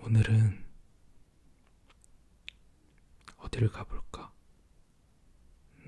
오늘은 어디를 가볼까?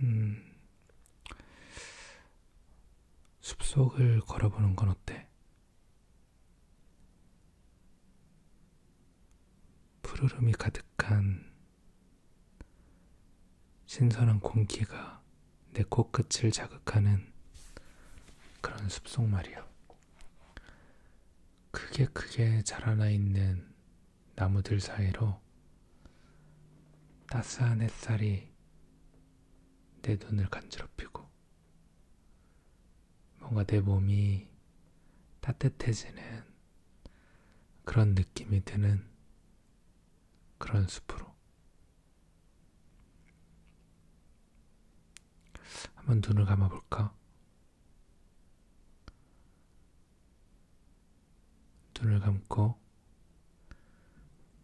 음, 숲속을 걸어보는 건 어때? 푸르름이 가득한 신선한 공기가 내 코끝을 자극하는 그런 숲속 말이야. 크게 크게 자라나 있는 나무들 사이로 따스한 햇살이 내 눈을 간지럽히고 뭔가 내 몸이 따뜻해지는 그런 느낌이 드는 그런 숲으로 한번 눈을 감아볼까? 눈을 감고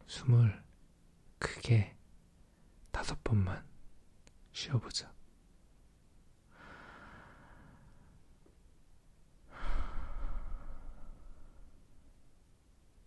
숨을 크게 다섯 번만 쉬어보자.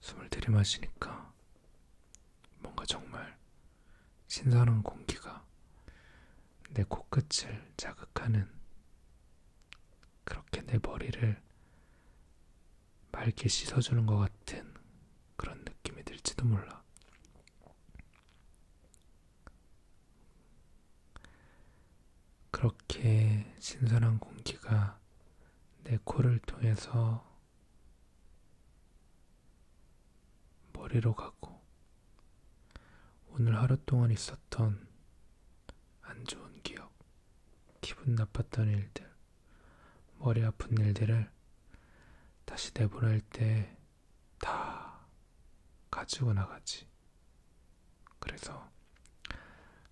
숨을 들이마시니까 뭔가 정말 신선한 공기가 내 코끝을 자극하는 그렇게 내 머리를 맑게 씻어주는 것 같은 그런 느낌이 들지도 몰라. 그렇게 신선한 공기가 내 코를 통해서 머리로 가고 오늘 하루 동안 있었던 안 좋은 기억, 기분 나빴던 일들, 머리 아픈 일들을 다시 내보낼 때 다 가지고 나가지. 그래서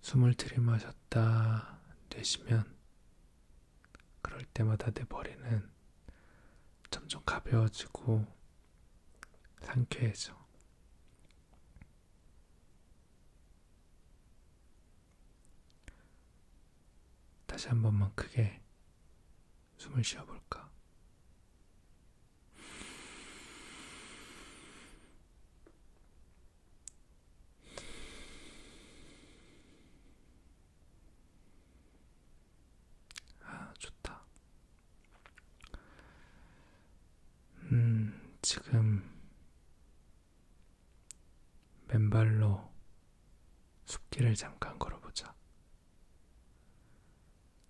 숨을 들이마셨다 내쉬면 그럴 때마다 내 머리는 점점 가벼워지고 상쾌해져. 다시 한 번만 크게 숨을 쉬어볼까? 아, 좋다. 음, 지금 맨발로 숲길을 잠깐 걸어보자.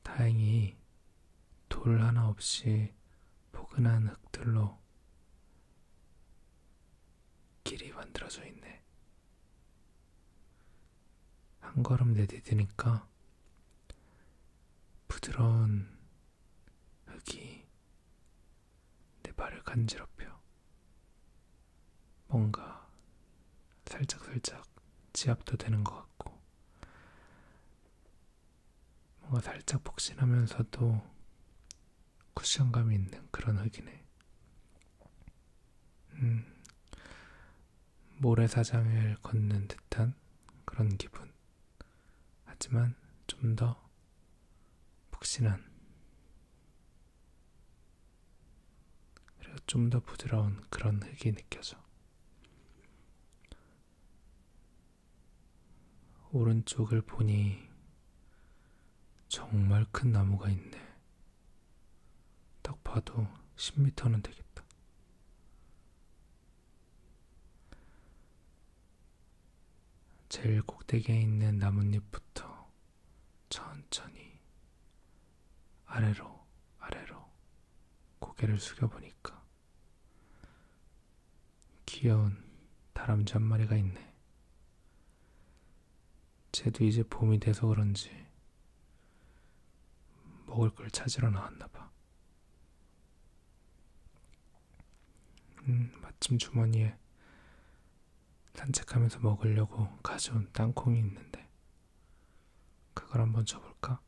다행히 돌 하나 없이 포근한 흙들로 길이 만들어져 있네. 한 걸음 내디디니까 부드러운 흙이 내 발을 간지럽혀 뭔가 살짝살짝 지압도 되는 것 같고 뭔가 살짝 폭신하면서도 쿠션감이 있는 그런 흙이네. 음, 모래사장을 걷는 듯한 그런 기분. 하지만 좀더 푹신한 그리고 좀더 부드러운 그런 흙이 느껴져. 오른쪽을 보니 정말 큰 나무가 있네. 딱 봐도 10m는 되겠다. 제일 꼭대기에 있는 나뭇잎부터 천천히 아래로 아래로 고개를 숙여보니까 귀여운 다람쥐 한 마리가 있네. 쟤도 이제 봄이 돼서 그런지 먹을 걸 찾으러 나왔나 봐. 음, 마침 주머니에 산책하면서 먹으려고 가져온 땅콩이 있는데 그걸 한번 줘볼까?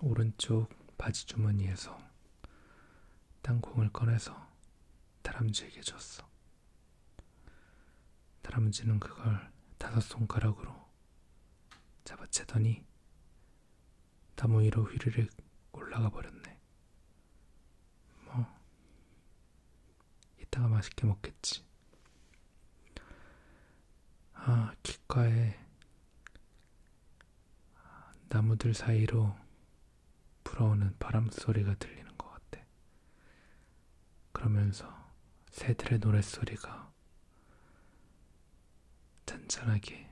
오른쪽 바지 주머니에서 땅콩을 꺼내서 다람쥐에게 줬어. 다람쥐는 그걸 다섯 손가락으로 잡아채더니 나무 위로 휘르륵 올라가 버렸네. 뭐, 이따가 맛있게 먹겠지. 아, 귓가에 나무들 사이로 불어오는 바람 소리가 들리는 것 같아. 그러면서 새들의 노랫소리가 잔잔하게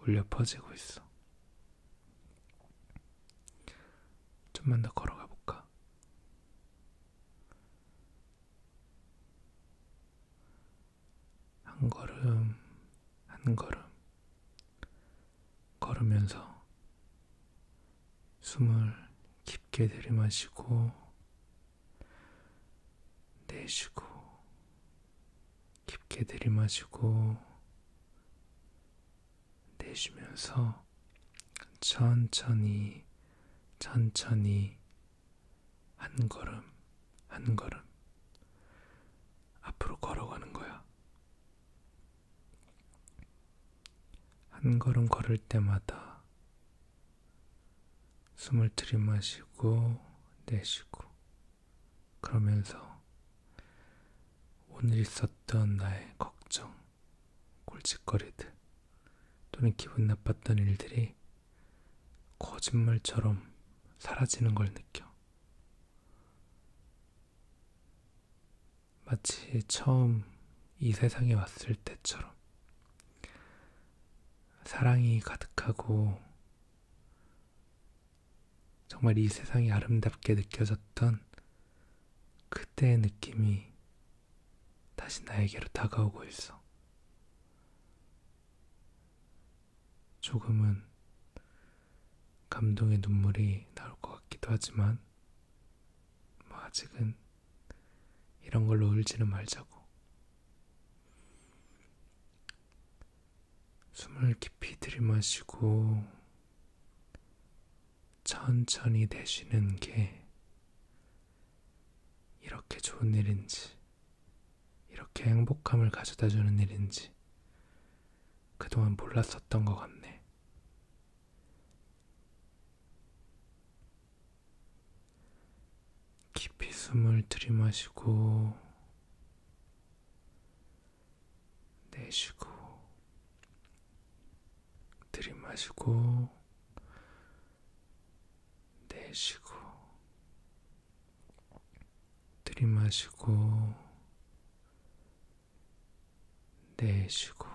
울려 퍼지고 있어. 좀만 더 걸어가 볼까? 한 걸음, 한 걸음, 걸으면서 숨을 깊게 들이마시고 내쉬고 깊게 들이마시고 내쉬면서 천천히 천천히 한 걸음 한 걸음 앞으로 걸어가는 거야. 한 걸음 걸을 때마다 숨을 들이마시고 내쉬고 그러면서 오늘 있었던 나의 걱정, 골칫거리들 또는 기분 나빴던 일들이 거짓말처럼 사라지는 걸 느껴. 마치 처음 이 세상에 왔을 때처럼 사랑이 가득하고 정말 이 세상이 아름답게 느껴졌던 그때의 느낌이 다시 나에게로 다가오고 있어. 조금은 감동의 눈물이 나올 것 같기도 하지만, 뭐 아직은 이런 걸로 울지는 말자고. 숨을 깊이 들이마시고 천천히 내쉬는 게 이렇게 좋은 일인지, 이렇게 행복함을 가져다 주는 일인지 그동안 몰랐었던 것 같네. 깊이 숨을 들이마시고 내쉬고 들이마시고 내쉬고 들이마시고 내쉬고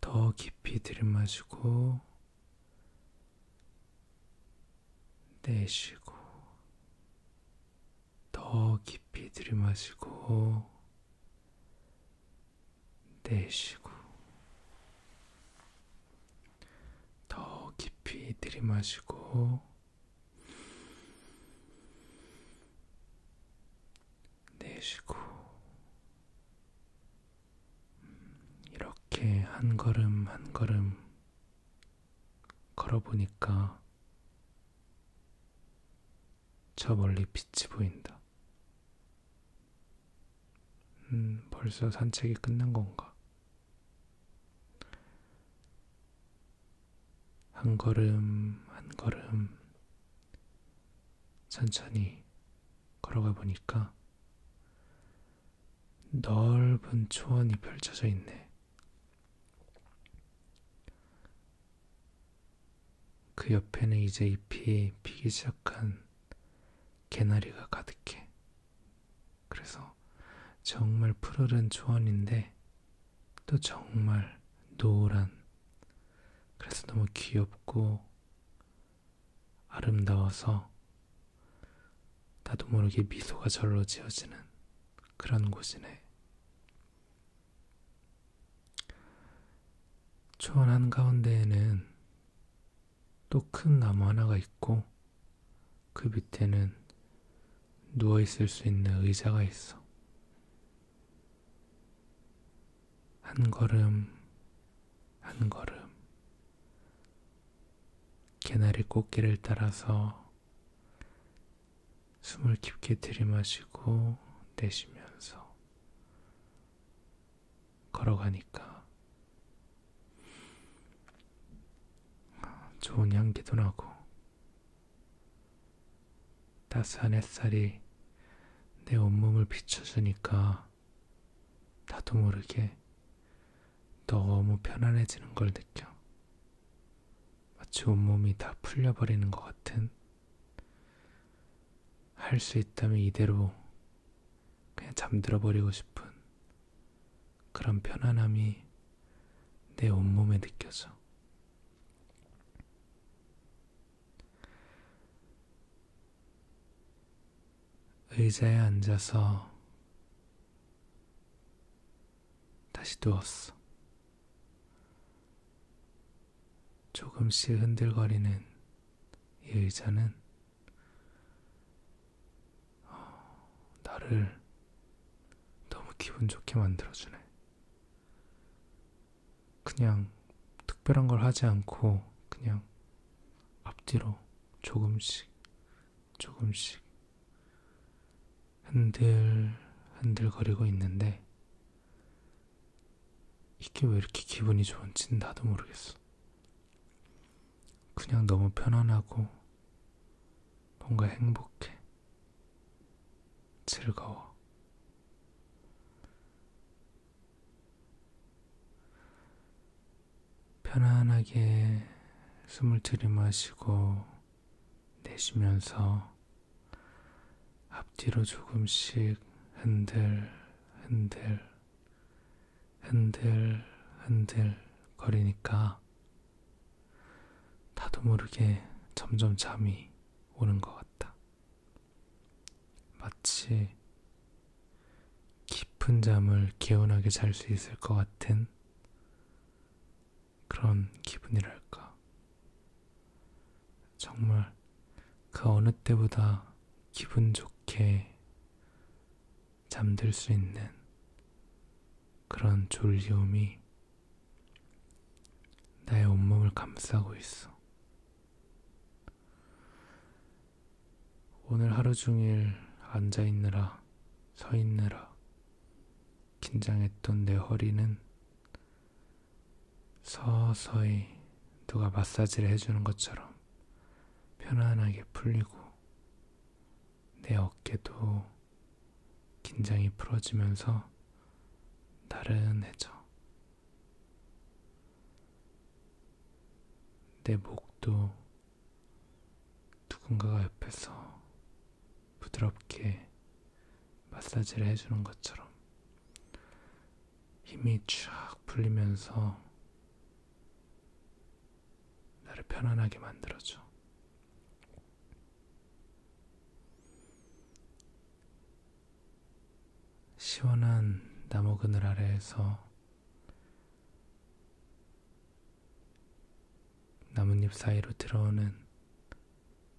더 깊이 들이마시고 내쉬고 더 깊이 들이마시고 내쉬고 더 깊이 들이마시고 내쉬고, 음, 이렇게 한 걸음 한 걸음 걸어보니까 저 멀리 빛이 보인다. 음, 벌써 산책이 끝난 건가? 한 걸음, 한 걸음 천천히 걸어가 보니까 넓은 초원이 펼쳐져 있네. 그 옆에는 이제 잎이 피기 시작한 개나리가 가득해. 그래서 정말 푸르른 초원인데 또 정말 노란 그래서 너무 귀엽고 아름다워서 나도 모르게 미소가 절로 지어지는 그런 곳이네. 초원 한가운데에는 또 큰 나무 하나가 있고 그 밑에는 누워있을 수 있는 의자가 있어. 한 걸음 한 걸음 개나리 꽃길을 따라서 숨을 깊게 들이마시고 내쉬면서 걸어가니까 좋은 향기도 나고 따스한 햇살이 내 온몸을 비춰주니까 나도 모르게 너무 편안해지는 걸 느껴. 마치 온몸이 다 풀려버리는 것 같은. 할 수 있다면 이대로 그냥 잠들어 버리고 싶은 그런 편안함이 내 온몸에 느껴져. 의자에 앉아서 다시 누웠어. 조금씩 흔들거리는 이 의자는 어, 나를 너무 기분 좋게 만들어주네. 그냥 특별한 걸 하지 않고 그냥 앞뒤로 조금씩 조금씩 흔들 흔들거리고 있는데 이게 왜 이렇게 기분이 좋은지는 나도 모르겠어. 그냥 너무 편안하고 뭔가 행복해. 즐거워. 편안하게 숨을 들이마시고 내쉬면서 앞뒤로 조금씩 흔들, 흔들, 흔들, 흔들 거리니까 나도 모르게 점점 잠이 오는 것 같다. 마치 깊은 잠을 개운하게 잘 수 있을 것 같은 그런 기분이랄까. 정말 그 어느 때보다 기분 좋게 잠들 수 있는 그런 졸리움이 나의 온몸을 감싸고 있어. 오늘 하루 종일 앉아 있느라, 서 있느라, 긴장했던 내 허리는 서서히 누가 마사지를 해주는 것처럼 편안하게 풀리고, 내 어깨도 긴장이 풀어지면서 나른해져. 내 목도 누군가가 옆에서 부드럽게 마사지를 해주는 것처럼 힘이 쫙 풀리면서 나를 편안하게 만들어줘. 시원한 나무 그늘 아래에서 나뭇잎 사이로 들어오는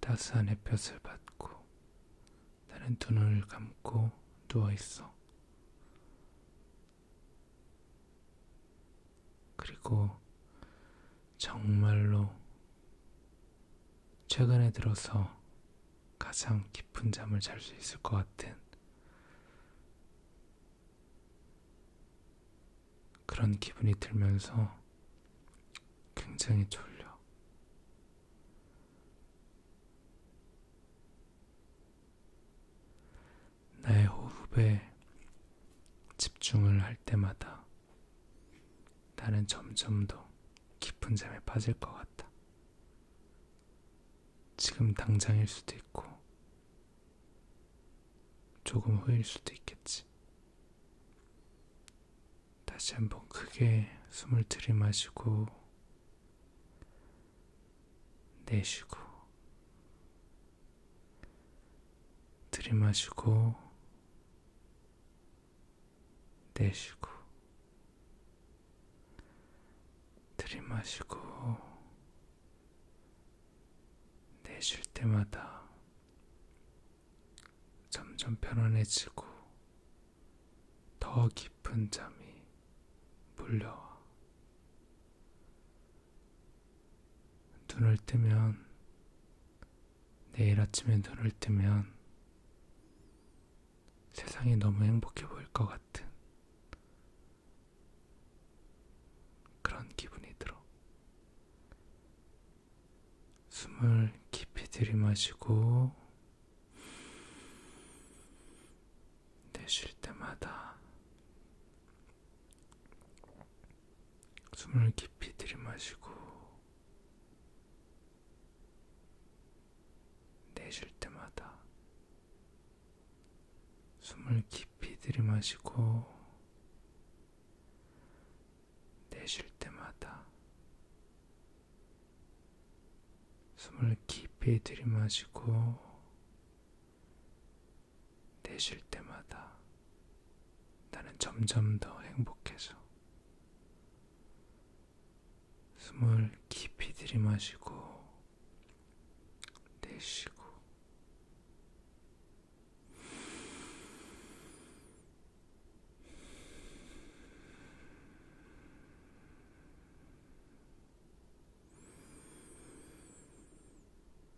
따스한 햇볕을 받고 나는 두 눈을 감고 누워 있어. 그리고 정말로 최근에 들어서 가장 깊은 잠을 잘 수 있을 것 같은 그런 기분이 들면서 굉장히 졸려. 나의 호흡에 집중을 할 때마다 나는 점점 더 깊은 잠에 빠질 것 같다. 지금 당장일 수도 있고, 조금 후일 수도 있겠지. 다시 한번 크게 숨을 들이마시고, 내쉬고, 들이마시고 내쉬고 들이마시고 내쉴 때마다 점점 편안해지고 더 깊은 잠이 물려와 눈을 뜨면 내일 아침에 눈을 뜨면 세상이 너무 행복해 보일 것 같은 그런 기분이 들어. 숨을 깊이 들이마시고 내쉴 때마다 숨을 깊이 들이마시고 내쉴 때마다 숨을 깊이 들이마시고 내쉴 때마다 숨을 깊이 들이마시고 내쉴 때마다 나는 점점 더 행복해져. 숨을 깊이 들이마시고 내쉬고